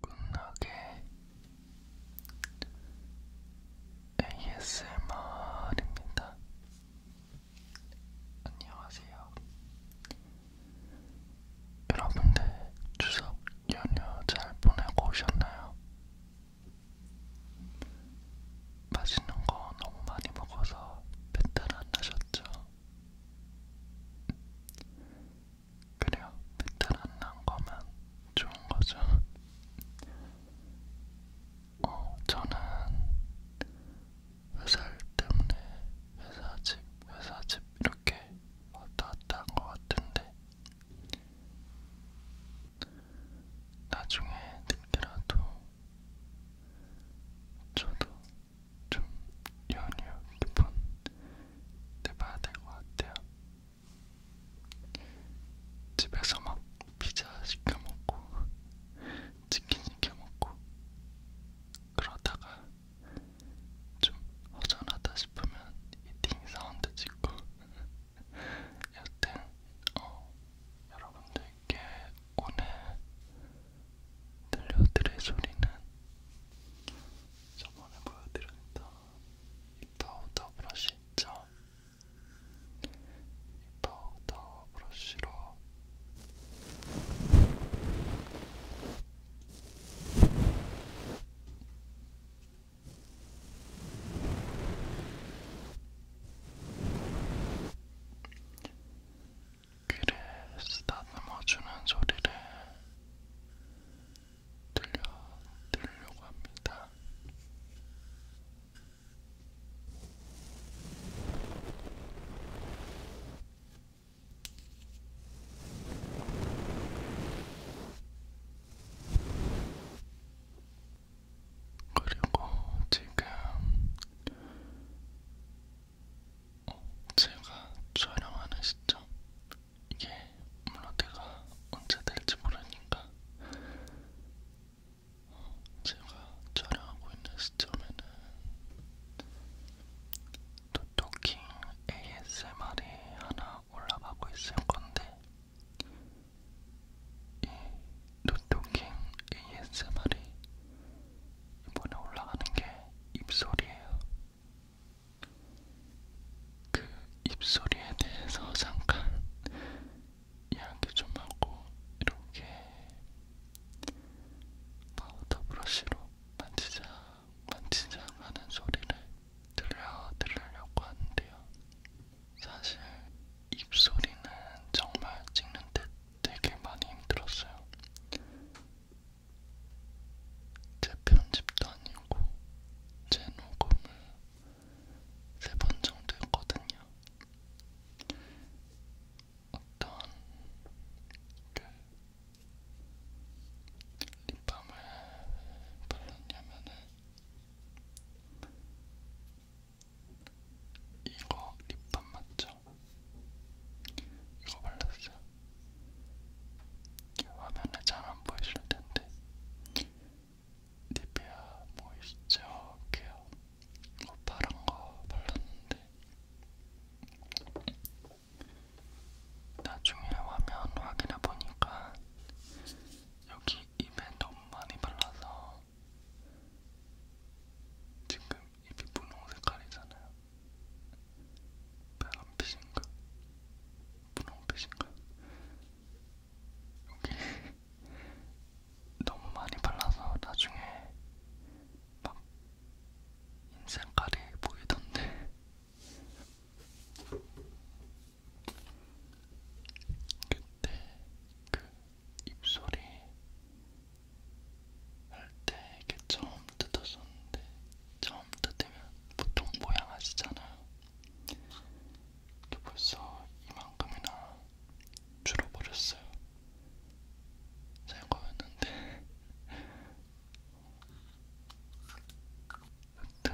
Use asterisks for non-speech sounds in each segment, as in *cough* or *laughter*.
굿나게 ASMR입니다. 안녕하세요. 여러분들 추석 연휴 잘 보내고 오셨나요? 맛있는 거 너무 많이 먹어서 배탈 안 나셨죠? 그래요, 배탈 안 난 거면 좋은 거죠. 어, 저는 회사일 때문에 회사 집, 회사 집 이렇게 왔다 갔다 한 거 같은데 나중에 늦게라도 저도 좀 연휴 기분 내봐야 될것 같아요. 집에서 막 피자 시켜 먹고 치킨 시켜 먹고 그러다가 좀 허전하다 싶으면 이팅 사운드 찍고 *laughs* 여튼 어 여러분들께 오늘 들려드릴 소리는 저번에 보여드렸던 이 파우더 브러쉬 있죠? 이 파우더 브러쉬로 귀를 쓰다듬어주는 소리를 들려드리려고 합니다. 그리고 지금 어, 제가 촬영하는 시점 이게 물론 내가 언제 될지 모르니까 어, 제가 촬영하고 있는 시점에는 토토킹 ASMR이 하나 올라가고 있을 건데 이 노토킹 ASMR이 이번에 올라가는 게 입소리예요. 그 입소리에 대해서 잠깐 이야기 좀 하고 이렇게 파우더 브러쉬로 만지작 만지작 하는 소리를 들려 드리려고 하는데요. 사실 입소리는 정말 찍는 데 되게 많이 힘들었어요. 제 편집도 아니고 제 녹음을 세 번 정도 했거든요. 어떤 그 립밤을 발랐냐면은 이거 립밤 맞죠? 이거 발랐어요. 화면에 잘 안 보이실 텐데 니베아 모이스처 케어 이거 파란 거 발랐는데 나중에 화면 확인해 보니까 여기 입에 너무 많이 발라서 지금 입이 분홍 색깔이잖아요. 빨간빛인가? 분홍빛인가? 여기 너무 많이 발라서 나중에 막 인생깔이 보이던데 그때 그 입소리 할때 이렇게 처음 뜯었었는데 처음 뜯으면 보통 모양 아시잖아요. 벌써 이만큼이나 줄어버렸어요. 새거였는데 *laughs* 여튼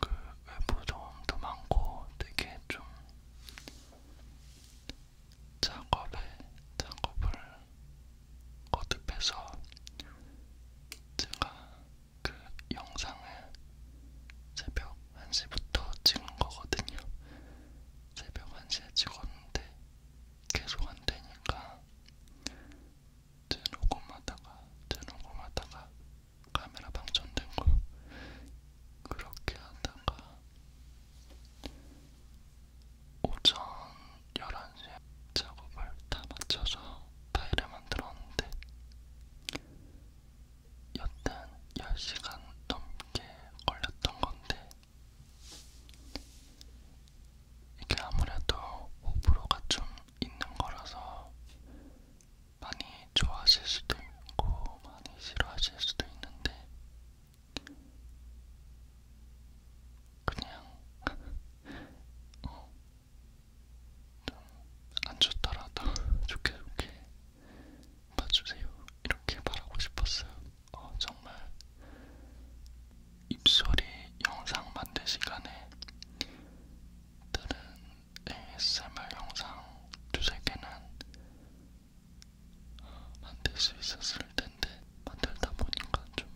그 외부 저음도 많고 되게 좀 작업에 작업을 거듭해서 제가 그 영상을 새벽 1시부터 찍은 거거든요. 새벽 1시에 찍었는데 계속 안 되니까 재녹음하다가 재녹음하다가 카메라 방전된 거 그렇게 하다가 오전 11시에 작업을 다 마쳐서 파일을 만들었는데 여튼 10시간 넘게 걸렸던 건데 이게 아무래도 호불호가 좀 있는 거라서 많이 좋아하실 수도 있고 많이 싫어하실 수도 있는데 그냥 *laughs* 어, 좀안 좋더라도 좋게 좋게 봐주세요. 이렇게 말하고 싶었어요. 어, 정말 입소리 영상 만들 시간에 다른 ASMR 영상 두세 개는 만들 수 있었을 텐데 만들다 보니까 좀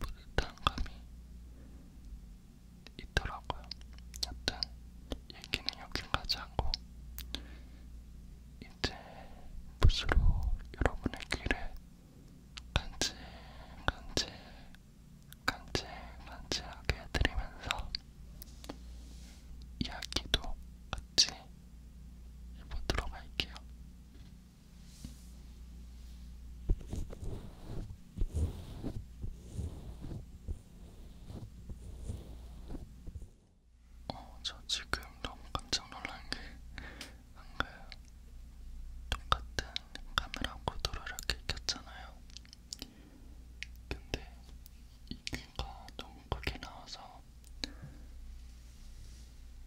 뿌듯한 감이 있더라고요. 일단 얘기는 여기까지 하고 이제 붓으로 여러분의 귀를 간질간질 간질간질하게 해드리면서 이야기도 같이 일부 들어갈게요. 어, 저 지금 너무 깜짝 놀란 게 한가요? 똑같은 카메라 구도로 이렇게 켰잖아요. 근데 이 귀가 너무 크게 나와서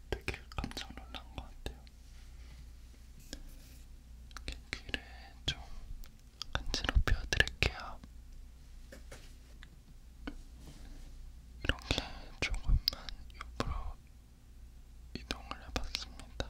되게 깜짝 놀란 것 같아요. 귀를 좀 간지럽혀 드릴게요. 이렇게 조금만 옆으로 이동을 해봤습니다.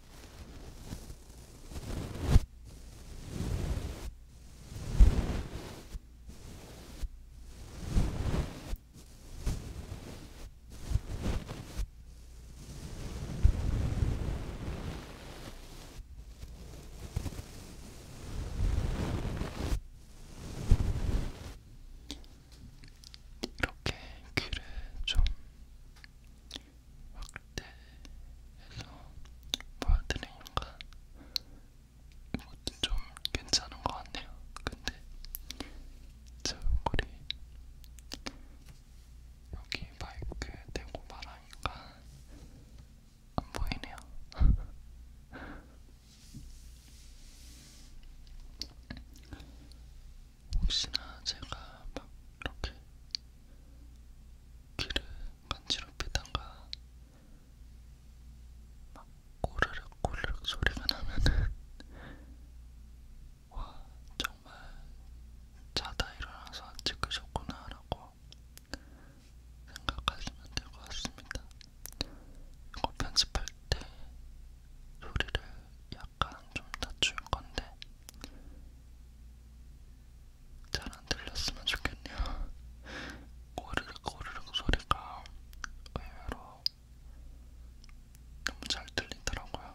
이렇게 귀를 좀 확대해서 보여드리니까 이것도 좀 괜찮은 것 같네요. 근데 제 얼굴이 여기 마이크 대고 말하니까 안 보이네요. 혹시나 제가 막 이렇게 귀를 간지럽히다가 막 꼬르륵 꼬르륵 소리가 나면은 와 정말 자다 일어나서 찍으셨구나 라고 생각하시면 될 것 같습니다. 이거 편집할 때 소리를 약 약간 좀 낮춘 건데 잘 안 들렸으면 좋겠네요. 고르륵 고르륵 소리가 의외로 너무 잘 들리더라고요.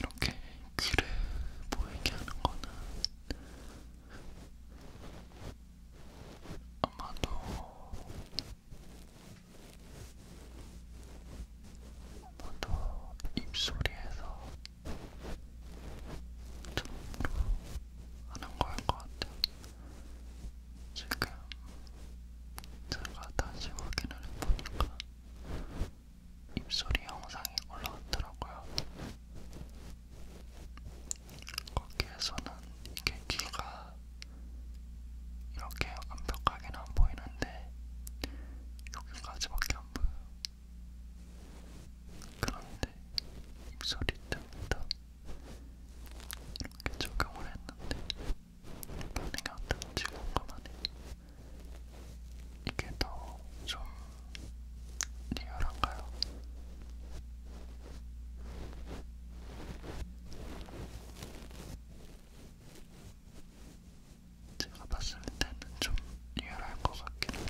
이렇게 그래 보이게 하는 거는 아마도 모두 입소리에서 처음으로 하는 거일 것 같아요. 지금 제가 다시 확인을 해보니까 입소리 영상이 올라왔더라고요. 거기에서는 이렇게 귀가 이렇게 완벽하게는 안 보이는데 여기까지밖에 안 보여요. 그런데 입술이 뜹니다. 이렇게 적용을 했는데 반응이 어떤지 궁금하네요. 이게 더 좀 리얼한가요? 제가 봤을 때는 좀 리얼할 것 같긴 해요.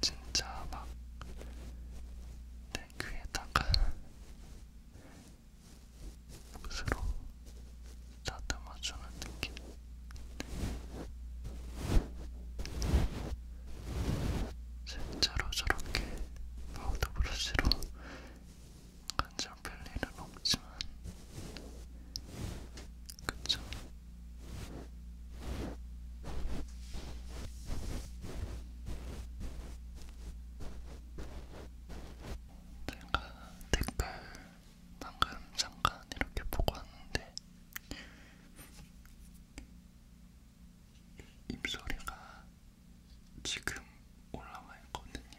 진짜 막 내 귀에다가 붓으로 다듬어주는 느낌. 실제로 저렇게 파우더 브러쉬로 간절 뺄 일은 없지만 그쵸? 제가 댓글 방금 잠깐 이렇게 보고 왔는데 입소리가 지금 올라와 있거든요.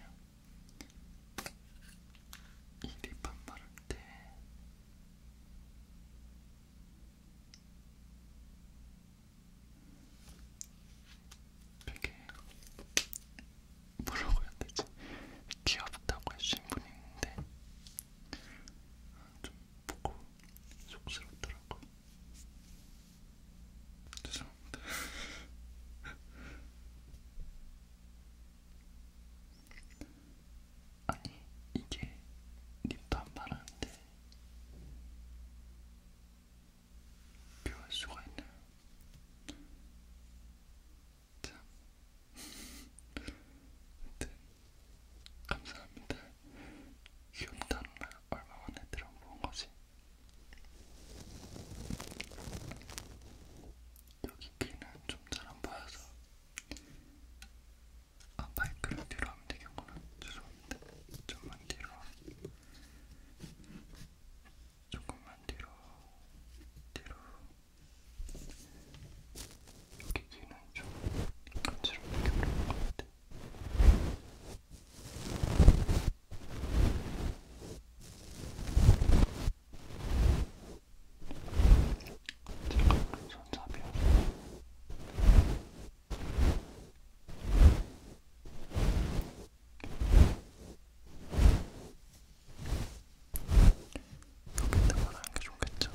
이 립밤 바를 때 되게 뭐라고 해야 되지? 귀엽다고 해주신 분이 있는데 좀 보고 속스럽더라고요. 죄송합니다. *laughs* 아니 이게 립밤 바르는데 비할 수가 있나요? 참. 하여튼 *laughs* 감사합니다. 귀엽다, 엄마. 얼마 만에 들어본 거지? 여기 귀는 좀 잘 안 보여서 아 마이크를 뒤로 하면 되겠구나 죄송합니다 좀만 뒤로 조금만 뒤로 뒤로 여기 귀는 좀 간지럽게 그런 것 같아 잠깐만 손잡이요. 여기다가 하는 게 좋겠죠?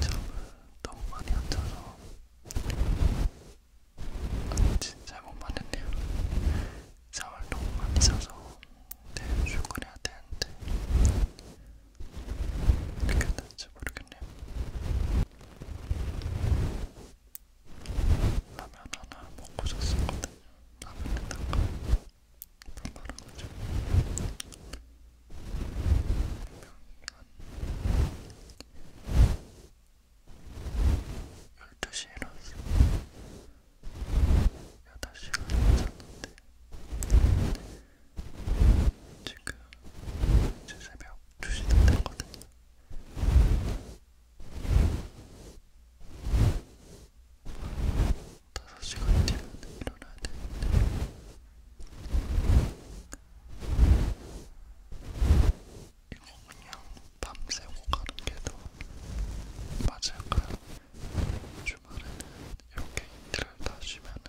잠을 너무 많이 안 자서 아침 잘못 봤는데요. 잠을 너무 많이 자서 내일 네, 출근해야 되는데 이렇게 될지 모르겠네요. 라면 하나 먹고 잤었거든요. 라면에다가 밥말아가지고 12시에 일어났어 8시에 일어났는데 지금 이제 새벽 2시 다 됐거든요 다섯 시간 뒤면 일어나야 되는데 이거 그냥 밤새고 가는 게더 맞을까요? 주말에는 이렇게 이틀을 다 쉬면은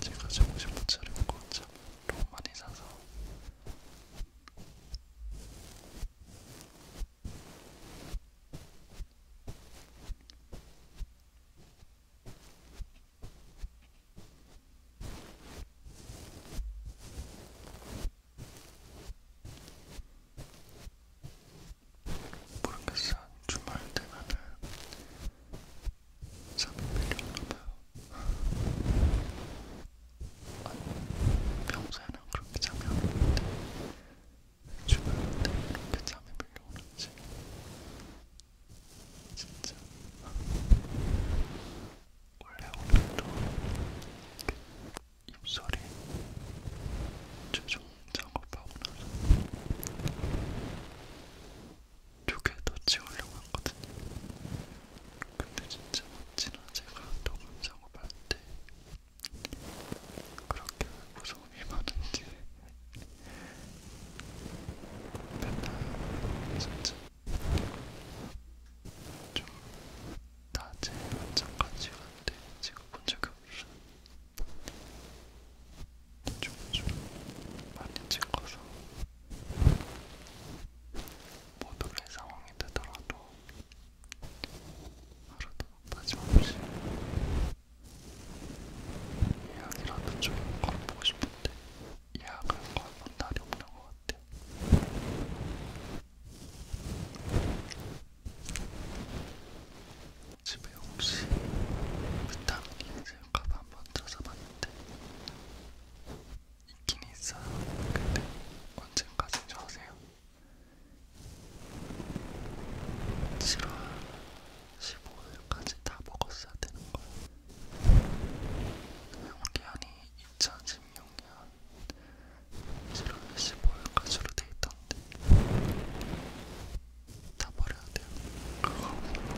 제가 정신 못 차리고 잠을 너무 많이 자서 모르겠어. 주말 되면은 잠이 필요하나봐요. 아니, 평소에는 그렇게 잠이 안 오는데 주말 때 이렇게 잠이 밀려오는지 진짜 원래 오늘도 입술이 최종 작업하고 나서 두개더 지우려고 했거든요. 근데 진짜 지난 제가 녹음 작업할 때 그렇게 울고서 도움이 많은지 맨날 진짜 좀 낮에 잠깐씩 왔는데 지금 본 적이 없어 좀좀 많이 찍어서 모두의 상황이 되더라도 하루도 빠짐없이 이야기라도 좀 걸어보고 싶은데 예약할 거 한번 날이 없는 것 같아요. 집에 혹시 비타민이 있을까봐 한번 찾아봤는데 있긴 있어요. 근데 언제까지 저세요? 7월 15일까지 다 먹었어야 되는 거예요. 용기한이 2016년 7월 15일까지로 돼 있던데 다 버려야 돼요. 그거 이렇게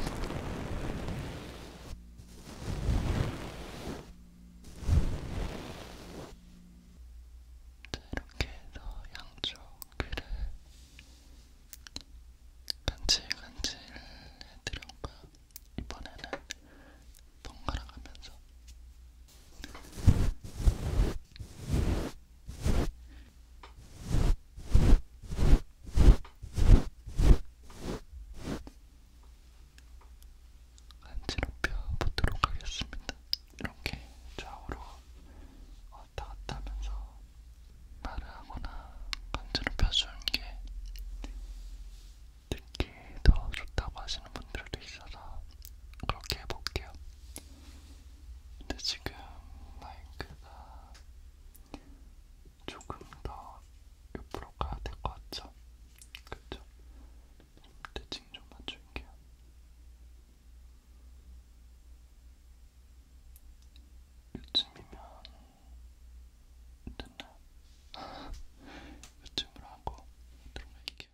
해서 양쪽 귀를 간질간질 해드려봐 이번에는 번갈아 가면서 간지럽혀 보도록 하겠습니다. 이렇게 좌우로 왔다 갔다 하면서 말을 하거나 간지럽혀준 게 듣기 더 좋다고 하시는 분들도 있어서 그렇게 해볼게요. 근데 지금 마이크가 조금 더 옆으로 가야 될 것 같죠? 그쵸? 대칭 좀 맞출게요. 요즘이면 됐나? *laughs* 요즘으로 하고 들어갈게요.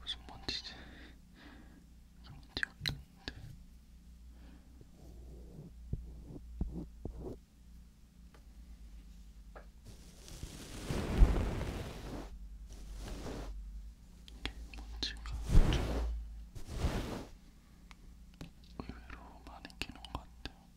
무슨 먼지지? 그런 티가 났는데 먼지가 좀 의외로 많이 끼는 것 같아요.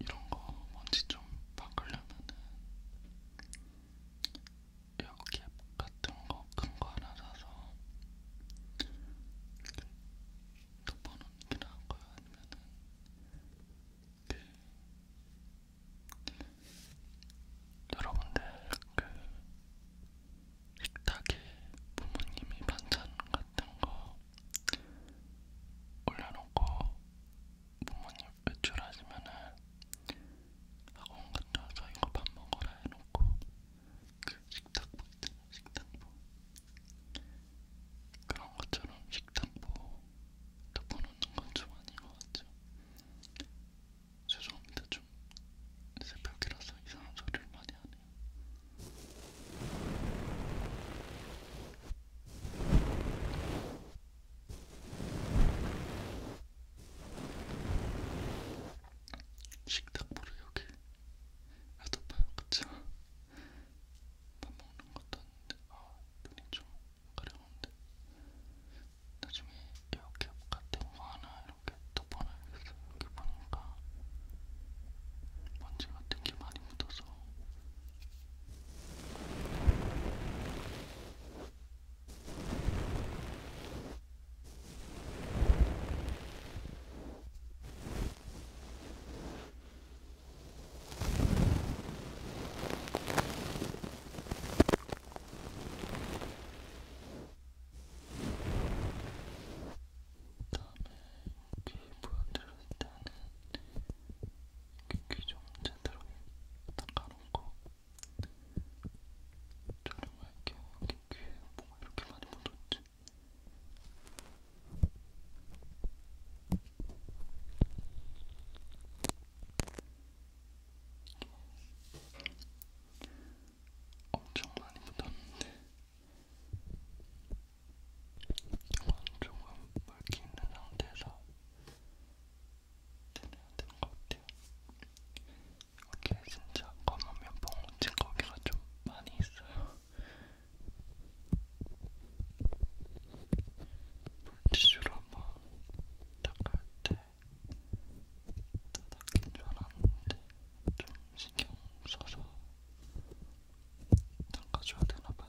이런 거 먼지 좀 바꾸려면은 여기 같은 거 큰거 거 하나 사서 덮어놓는 게 나을 거예요. 아니면은 그, 여러분들 그 식탁에 부모님이 반찬 같은 거 올려놓고 부모님 외출하시면은 학원 갔다와서 이거 밥 먹어라 해놓고 그 식탁보 있잖아 식탁보 그런 것처럼 식탁보 덮어놓는 건좀 아닌 것 같죠? 죄송합니다. 좀 새벽이라서 이상한 소리를 많이 하네요. 식탁보를 여기 놔둬봐요. 그쵸? 밥 먹는 것도 아닌데 아 눈이 좀 가려는데 나중에 이렇게 같은 거 하나 이렇게 덮어놔야겠어요. 이렇게 보니까 먼지 같은 게 많이 묻어서 이렇게 보여드릴 때는 귀좀 제대로 닦아놓고 촬영할게요. 여기 귀에 뭐가 이렇게 많이 묻었지? 엄청 많이 묻었는데 이건 조금 물기 있는 상태에서 되는 것 같아요. 이게 진짜 검은 면봉 묻힌 거기가 좀 많이 있어요. 물티슈로 한번 시작할 때 닫았긴 줄 알았는데 좀 신경 써서 닦아줘야 되나봐요.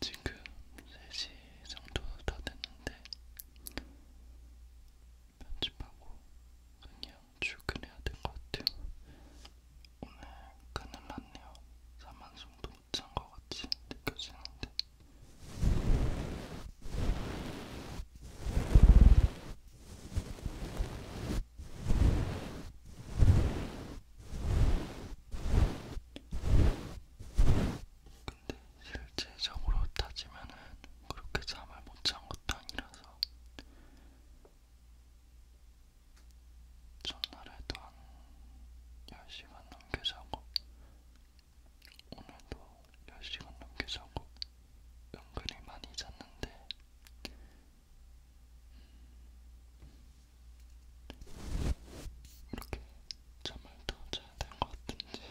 지금 3시 정도 다 됐는데 편집하고 그냥 출근해야 될 것 같아요. 오늘 큰일 났네요. 사만송도 못 잔 것 같이 느껴지는데. 근데 실제적으로 따지면은 그렇게 잠을 못 잔 것도 아니라서 전날에도 한 10시간 넘게 자고 오늘도 10시간 넘게 자고 은근히 많이 잤는데 이렇게 잠을 더 자야 될것 같은지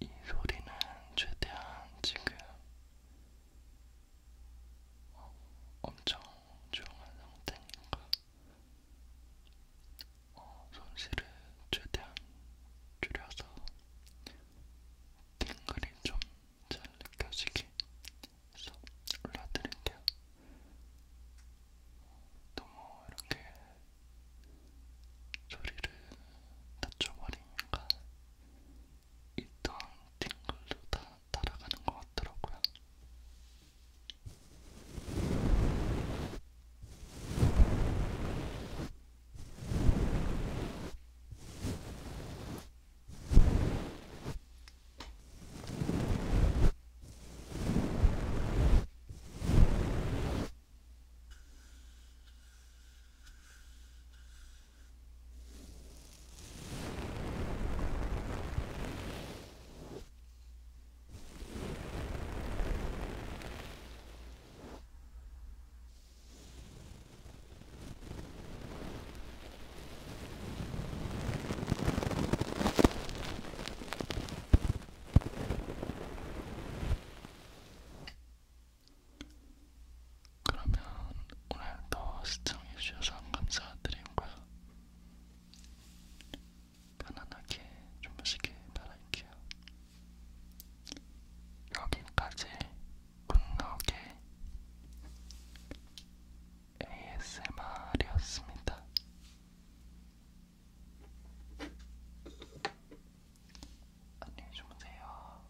이 소리는 최대한 지금 엄청 조용한 상태니까 어, 손실을 최대한 줄여서 팅글이 좀 잘 느껴지게 해서 올려드릴게요. 너무 뭐 이렇게 소리를 낮춰버리니까 있던 팅글도 다 따라가는 것 같더라고요. 그러면 오늘도 시청해주셔서 감사드리고요. 편안하게 주무시길 바랄게요. 여기까지 굿나게 ASMR이었습니다. 안녕히 주무세요.